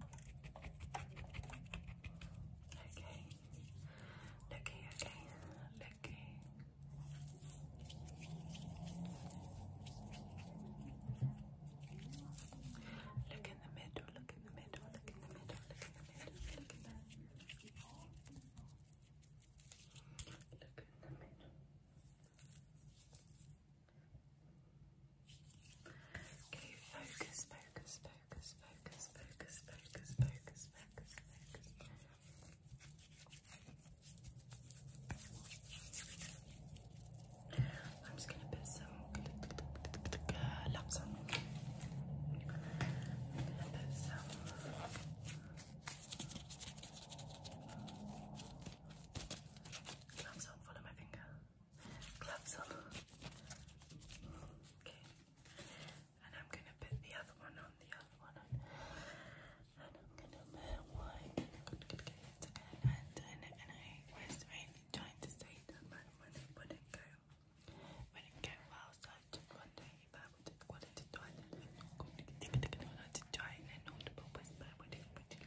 Okay. Okay, okay, okay. Look in look in the middle, look in the middle, look in the middle, look in the middle. Look in the middle. Okay, focus, focus, focus, focus, focus, focus, focus, focus, I'm just gonna put some uh, laps put some. follow my finger gloves on. Okay. And I'm gonna put the other one on, the other one And i one. Good, good, good. And, and, and I was really trying to say that my money wouldn't go. Wouldn't go well, so I wonder if I would, wanted to try it. I'm going to try it in an audible whisper. Would you, would you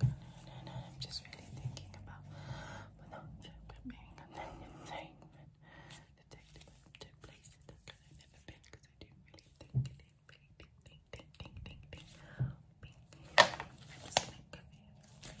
And I'm just really thinking about without being a thing England. The technical took place in Dublin. I've never been because I did really think it. Ding, ding, ding, ding, ding, ding, ding. Bing, bing. I'm just gonna come in. Thank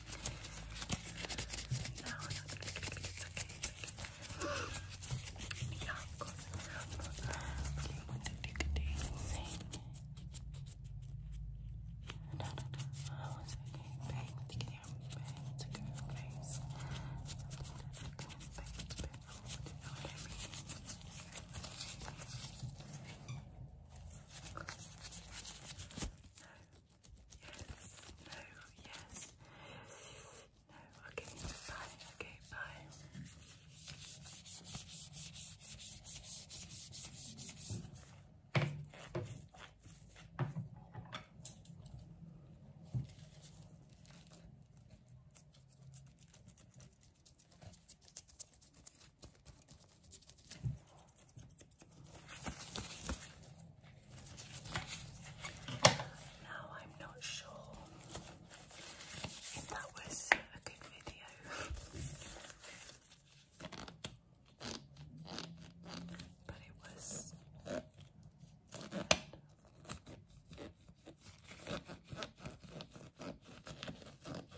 No, it's okay. It's okay. Yeah, of course. Okay, what did you do? Sing. No, no, no. Oh, it's okay. Bang. Take it out. Bang. Take it out. Bang. Bang. Bang. Bang. Yes. No. Yes. No. Okay. Bye. Okay. Bye. Now I'm not sure if that was a good video. but it was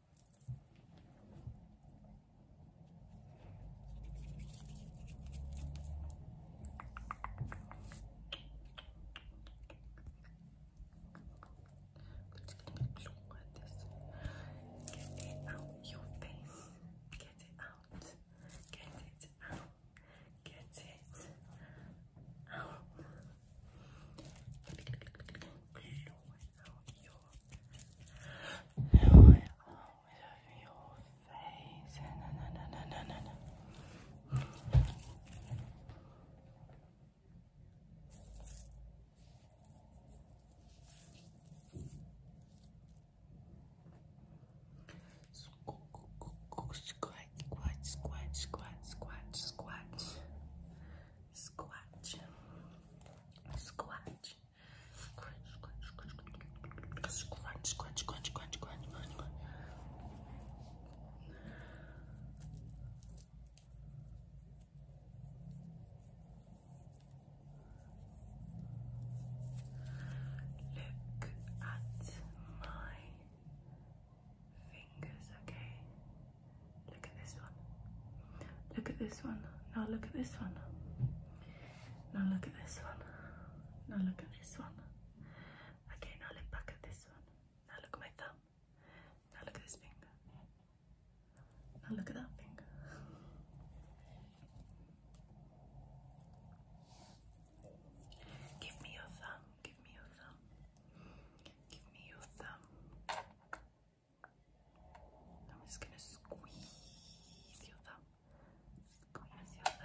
Look at Get it out your face. Get it out. Get it out. Get it your face. Squat, squat, squat, squat, squat, squat. Squatch. Squatch. Crunch, crunch, crunch, crunch. Crunch, crunch, crunch, crunch, crunch, crunch, crunch. Look at my fingers, okay? Look at this one. Look at this one. Now look at this one. Now look at this one. Now look at this one. Okay, now look back at this one. Now look at my thumb. Now look at this finger. Now look at that finger. Give me your thumb. Give me your thumb. Give me your thumb. I'm just gonna squeeze your thumb. Squeeze your thumb.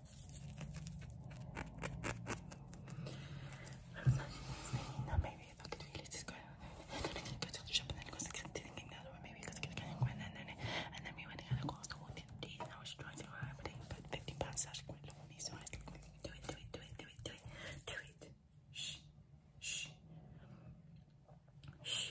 No, maybe I thought really just go to the shop and then because I didn't get another one, maybe because I can't go and then and then we went and I cost one fifty and I was trying to but I put fifty pounds I went to me, so I think do it, do it, do it, do it, do it, do it. Shh shh shh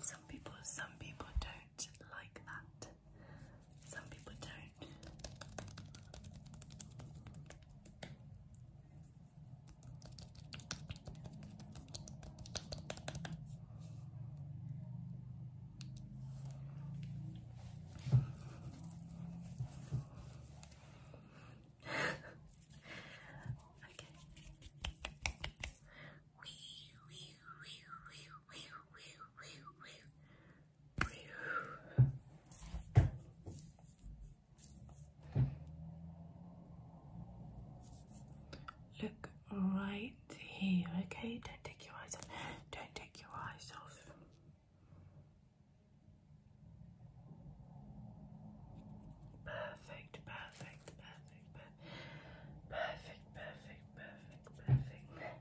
Some people, some people don't like that. Some people don't. okay. Look right here, okay? Don't take your eyes off. Don't take your eyes off. Perfect, perfect, perfect, Perfect, perfect, perfect, perfect.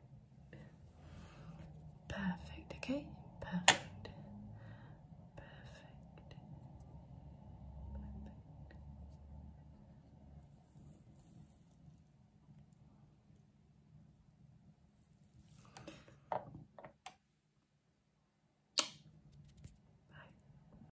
Perfect, okay? Perfect. Perfect. Perfect.